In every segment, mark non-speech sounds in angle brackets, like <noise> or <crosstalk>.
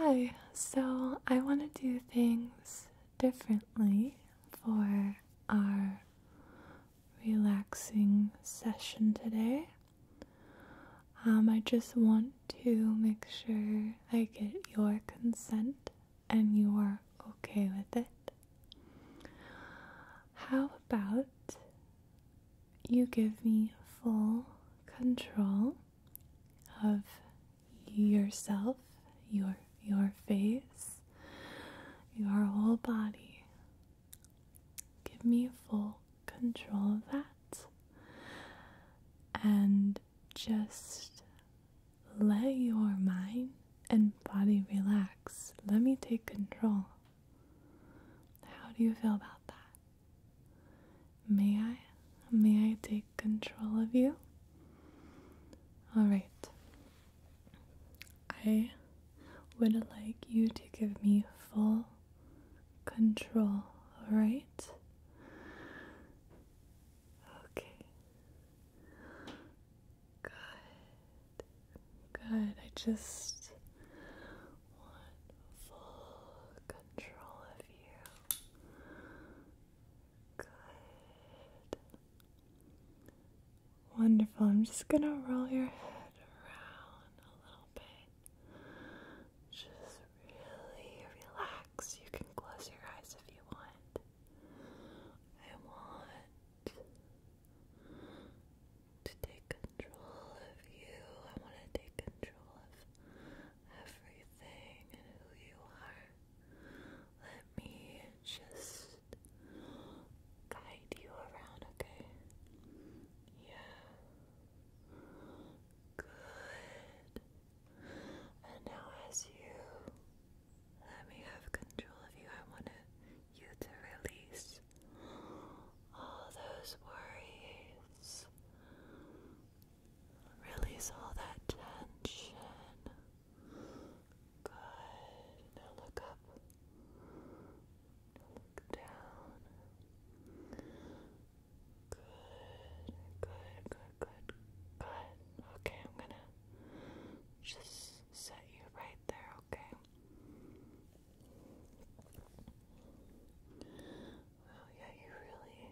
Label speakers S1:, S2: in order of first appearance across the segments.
S1: Hi, so I want to do things differently for our relaxing session today. Um, I just want to make sure I get your consent and you are okay with it. How about you give me full control of yourself, your your face, your whole body. Give me full control of that and just let your mind and body relax. Let me take control. How do you feel about that? May I? May I take control of you? All right. I would like you to give me full control, alright? Okay. Good. Good. I just want full control of you. Good. Wonderful. I'm just going to roll your head around a little bit. Just
S2: really relax. You can close your eyes if you want. I want to take control of you. I want to take control of everything and who you are. Let me just guide you around, okay? Yeah. Good. And now, as you let me have control of you, I want you to release all those worries, release all that tension. Good. Now look up. look down. Good. Good. Good. Good. Good. Okay, I'm gonna just set you right there. Okay. Wow. Yeah, you really,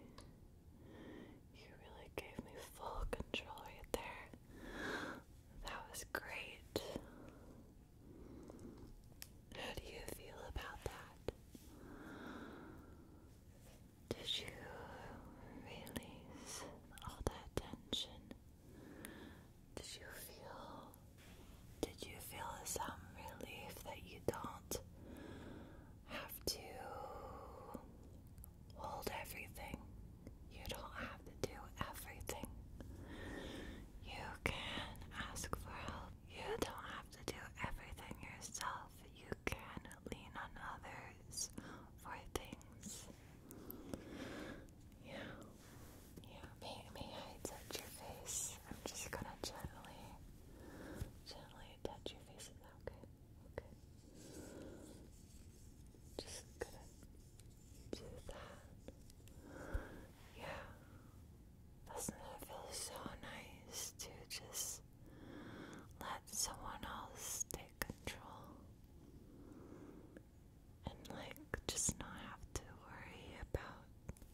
S2: you really gave me full control right there. That was great. How do you feel about that? Did you release all that tension? Did you feel did you feel some relief that you don't have to hold everything. You don't have to do everything. You can ask for help. You don't have to do everything yourself. You can lean on others for things. Yeah. Yeah. May, may I touch your face? I'm just gonna gently, gently touch your face. Is that okay? Okay. Just gonna do that. Yeah. Doesn't it feel so nice to just let someone else take control? And like just not have to worry about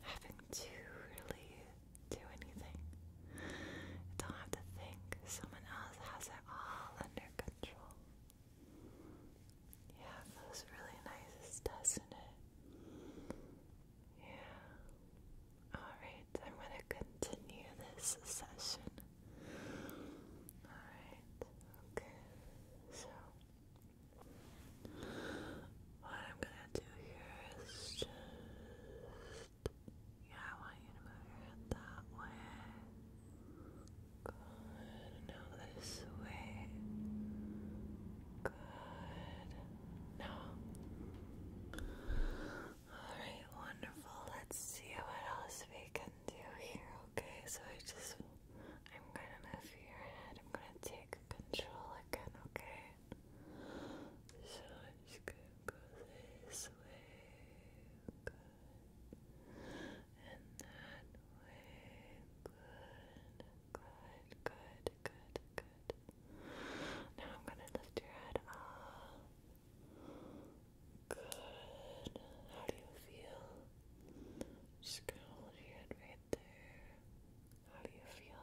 S2: having to really do anything. Don't have to think. Someone else has it all under under control. Yeah, feels really nice, doesn't it? Yeah. Alright, I'm going to continue this session. Alright, okay. So, what I'm going to do here is just yeah, I want you to move your head that way. Good. Now this way. Good. Now. Alright, wonderful. Let's see what else we can do here, okay? So I just, I'm gonna move your head. I'm gonna take control again, okay? So I'm just gonna go this way good. In that way, good, good, good, good, good. Now I'm gonna lift your head up. Good. How do you feel? Just your head right there. How do you feel?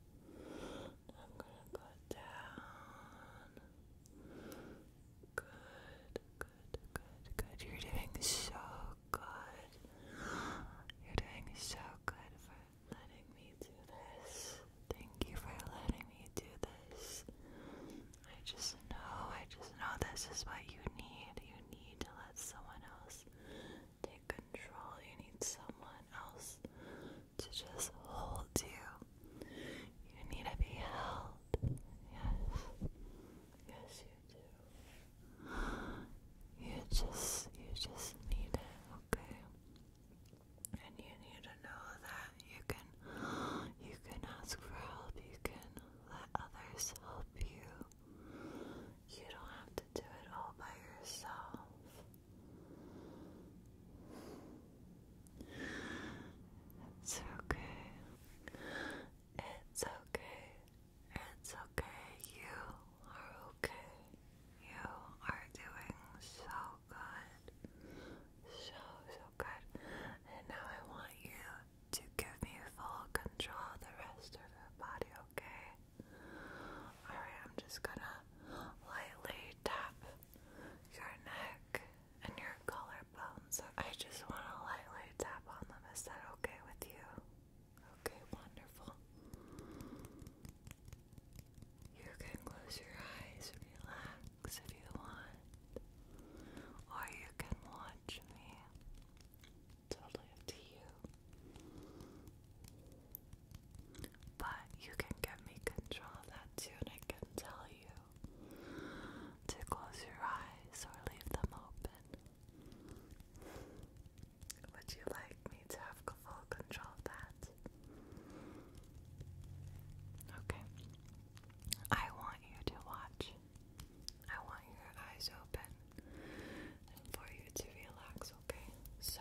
S2: I'm gonna go down. Good, good, good, good. You're doing so good. You're doing so good for letting me do this. Thank you for letting me do this. I just know, I just know this is what you need. You need to let someone else take control. You need someone else to just hold you. You need to be held. Yes. Yes, you do. You just, you just need it, okay? And you need to know that you can, you can ask for help. You can let others help you. You don't have to do it all by yourself. It's okay. It's okay. It's okay. You are okay. You are doing so good. So, so good. And now I want you to give me full control of the rest of your body, okay? Alright, I'm just gonna lightly tap your neck and your collarbones. I just want to lightly tap on them. Is that okay with you? Okay, wonderful. You can close your eyes, relax if you want, or you can watch me. Totally up to you. But you can get me control of that too, and I can tell you to close your eyes or leave them open. Would you like me to have full control of that? Okay. I want you to watch. I want your eyes open and for you to relax okay? So,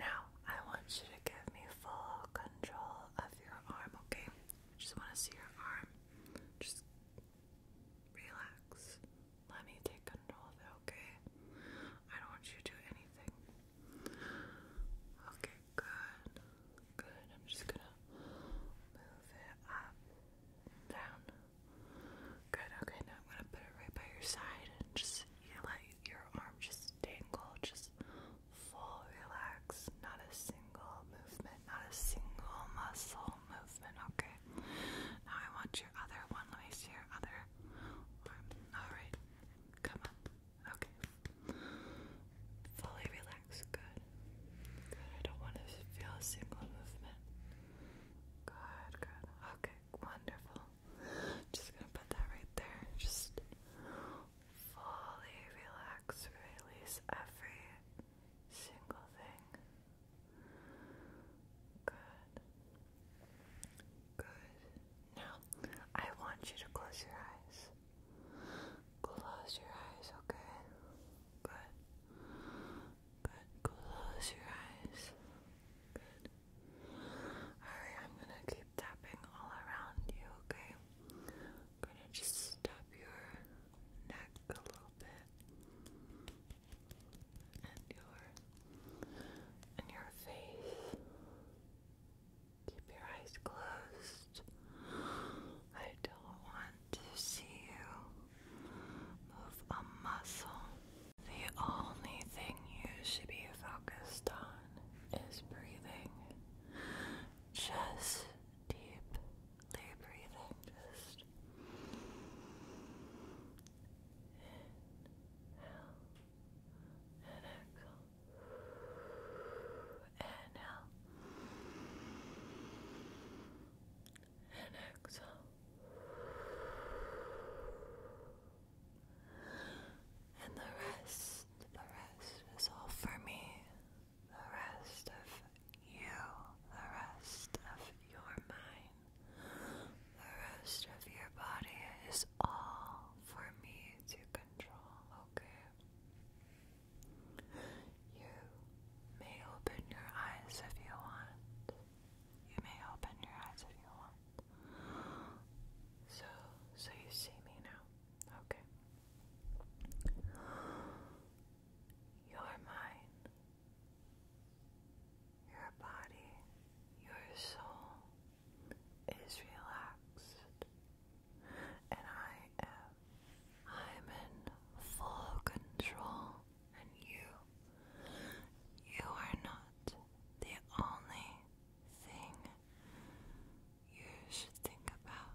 S2: now I want you to give me full control of your arm, okay? Just want to see your arm. Just relax. Let me take control of it, okay? I don't want you to do anything. Okay, good. Good. I'm just gonna move it up, down, Good, okay, now I'm gonna put it right by your side and just let your arm just dangle, just full relax, not a single movement, not a single muscle movement, okay? Now I want your other one, let me see your other arm. Alright, come on, okay. Fully relax, good. Good, I don't want to feel a single movement. Good, good. Okay, Wonderful. Just gonna put that right there. Just fully relax, release every single thing. Good. Good. Now, I want you to close your eyes. Close your eyes, okay? Good. Good. Close your eyes. Alright, I'm gonna keep tapping all around you, okay? I'm gonna just tap your neck a little bit. And your and your face. Keep your eyes closed. I don't want to see you move a muscle. The only thing you should be focused on is breathing. Just deep breathing. Just inhale and exhale. Inhale and exhale. And the rest, the rest is all for me. The rest of you, the rest of your mind, the rest of your body is all for me to control, okay? You may open your eyes if you want. You may open your eyes if you want. So, so you see me now. Okay. You're Your body, your soul is relaxed. And I am, I'm in full control and you, you are not the only thing you should think about,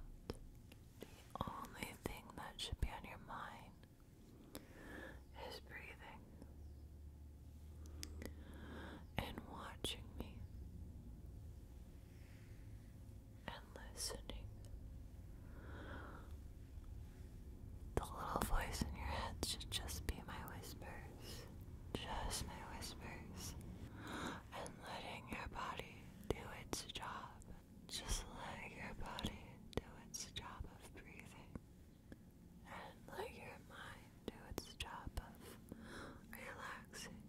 S2: the only thing that should be on your mind is breathing and watching me and listening the little voice in your head should just be my whispers. Just my whispers. And letting your body do its job. Just let your body do its job of breathing. And let your mind do its job of relaxing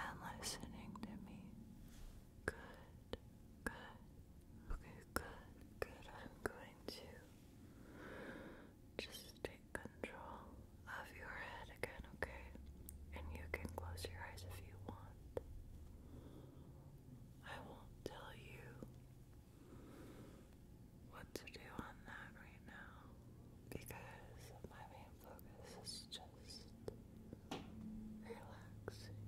S2: and listening to me. Good, good, Okay, good, good. I'm going to just take control of your head again, okay? And you can close your eyes if you want. I won't tell you what to do on that right now because my main focus is just relaxing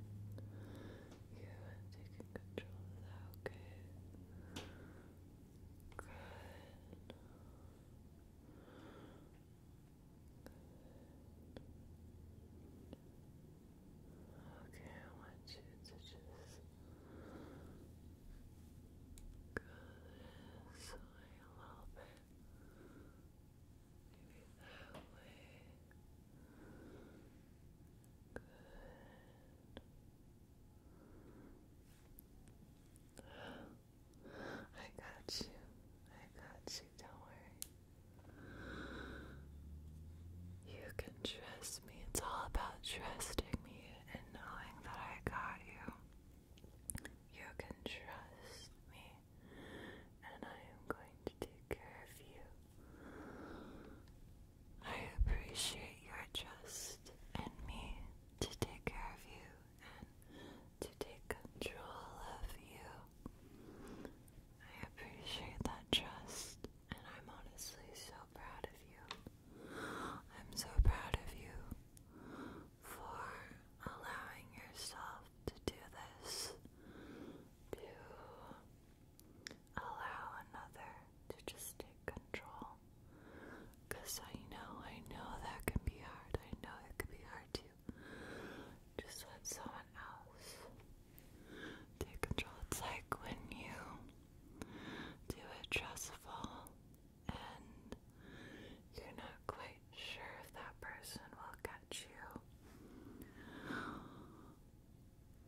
S2: you have taken control okay? Good. Okay, I want you to just go this way a little bit. Maybe that way. I got you. I got you. Don't worry. You can trust me. It's all about trusting me and knowing that I got you. You can trust me, and I am going to take care of you. I appreciate your trust in me to take care of you and to take control of you. I appreciate that trust and I'm honestly so proud of you. I'm so proud of you for allowing yourself to do this, to Allow another to just take control. Because I know, I know that can be hard. I know it can be hard to just let someone else take control. It's like when you do a dress fall and you're not quite sure if that person will catch you.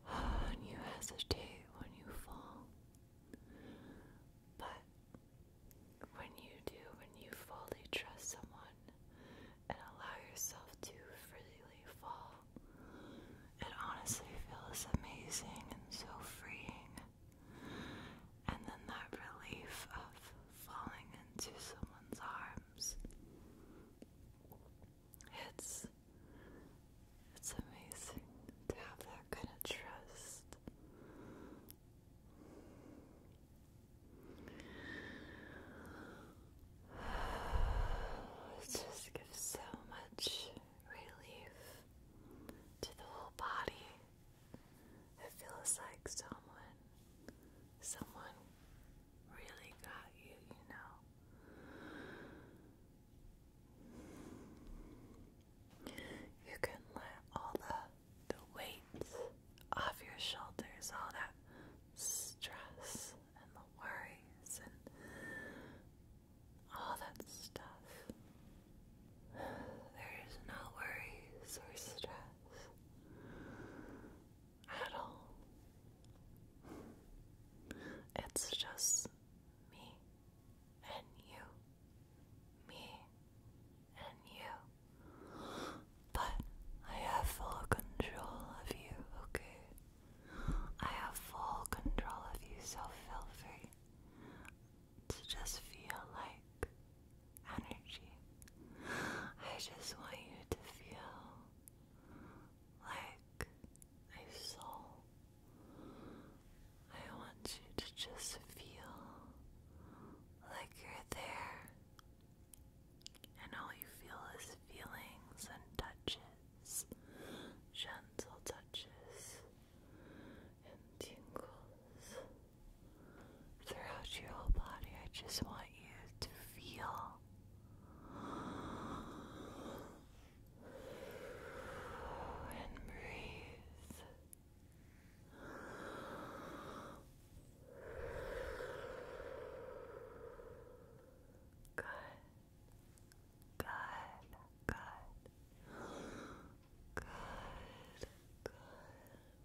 S2: When <sighs> you hesitate when you fall. But when you do, when you fully trust someone and allow yourself to freely fall, it honestly feels amazing and so freeing. And then that relief of falling into someone's arms it's it's amazing to have that kind of trust. <sighs> It just gives so much relief to the whole body. It feels like someone someone really got you, you know. You can let all the the weights off your shoulders, all that stress and the worries and all that stuff. There's no worries or stress at all. It's just me and you. Me and you. But I have full control of you, okay? I have full control of you, so feel free to just feel like energy. I just want you to feel like a soul. I want you to just feel like you're there, and all you feel is feelings and touches, gentle touches and tingles throughout your whole body. I just want you to feel and breathe. Good. Good. Good. Good. Good.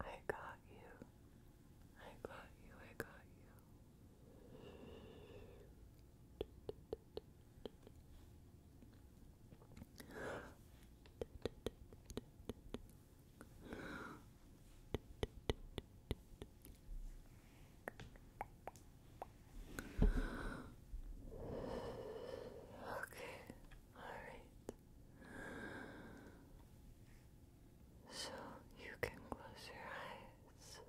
S2: I got you. I got you. I got you. Okay, alright. So you can close your eyes or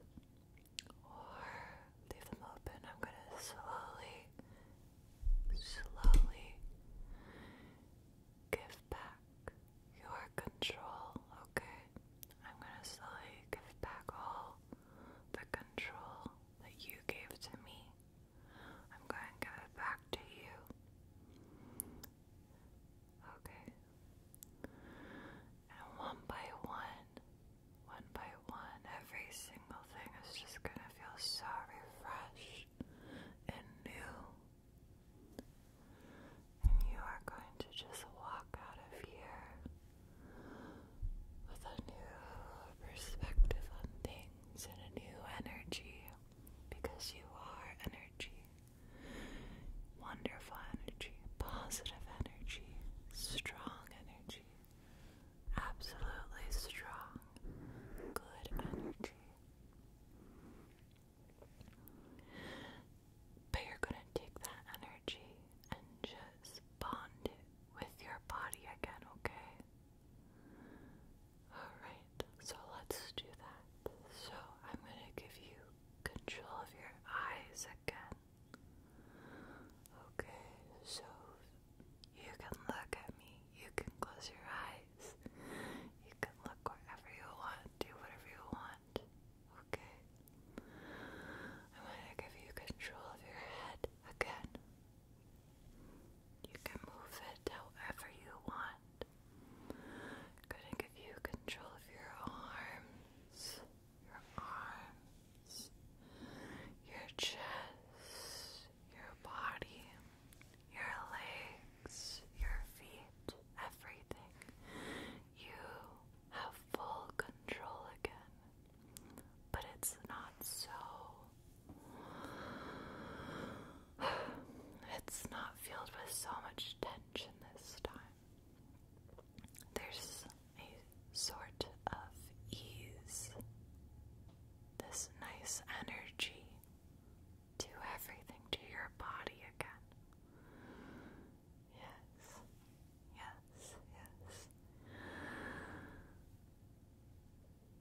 S2: leave them open. I'm going to slowly, slowly give back your control, okay? I'm going to slowly give back all the control that you gave to me. I'm going to give it back to you. Okay. And one by one, one by one, every single thing is just going to feel so refreshed and new. And you are going to just walk out of here with a new perspective on things and a new energy because you are energy. Wonderful energy, positive energy, strong energy, absolutely strong, good energy. But you're going to take that energy and just bond it with your body again, okay? Alright, so let's do that. So I'm gonna give you control of your eyes again. Okay, so you can look at me, you can close your eyes, you can look wherever you want, do whatever you want, okay? I want to give you control of your head again. You can move it however you want. I'm going to give you control of your arms, your arms, your chest, your body, your legs, your feet, everything. You have full control again, but it's not so. <sighs> It's not filled with so much tension this time. There's a sort of ease, this nice energy to everything, to your body again. Yes, yes, yes.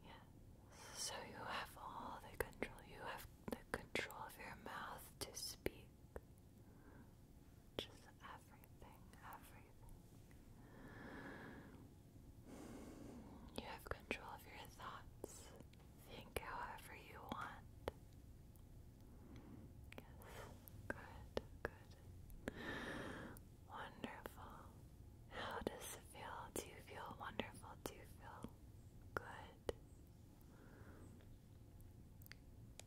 S2: Yes. So you have all the control. You have the control of your mouth to speak. Just everything, everything. You have control of your thoughts. Think however you want. Yes, good, good. Wonderful. How does it feel? Do you feel wonderful? Do you feel good?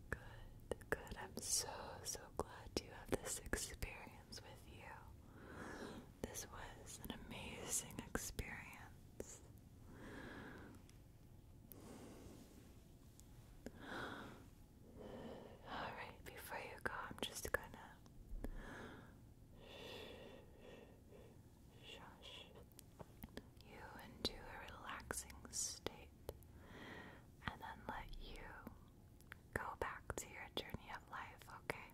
S2: Good, good. I'm so, so glad to have this experience with you. This was an amazing experience. Alright, before you go, I'm just gonna shush you into a relaxing state and then let you go back to your journey of life, okay?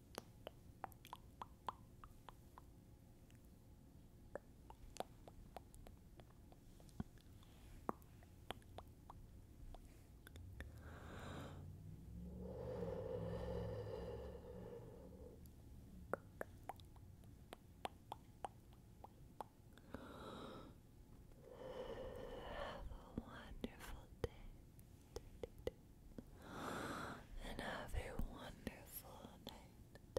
S2: Have a wonderful day and have a wonderful night.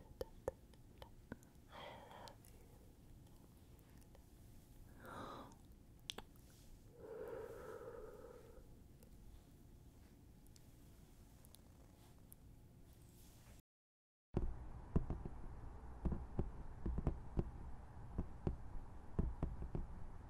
S2: I love you.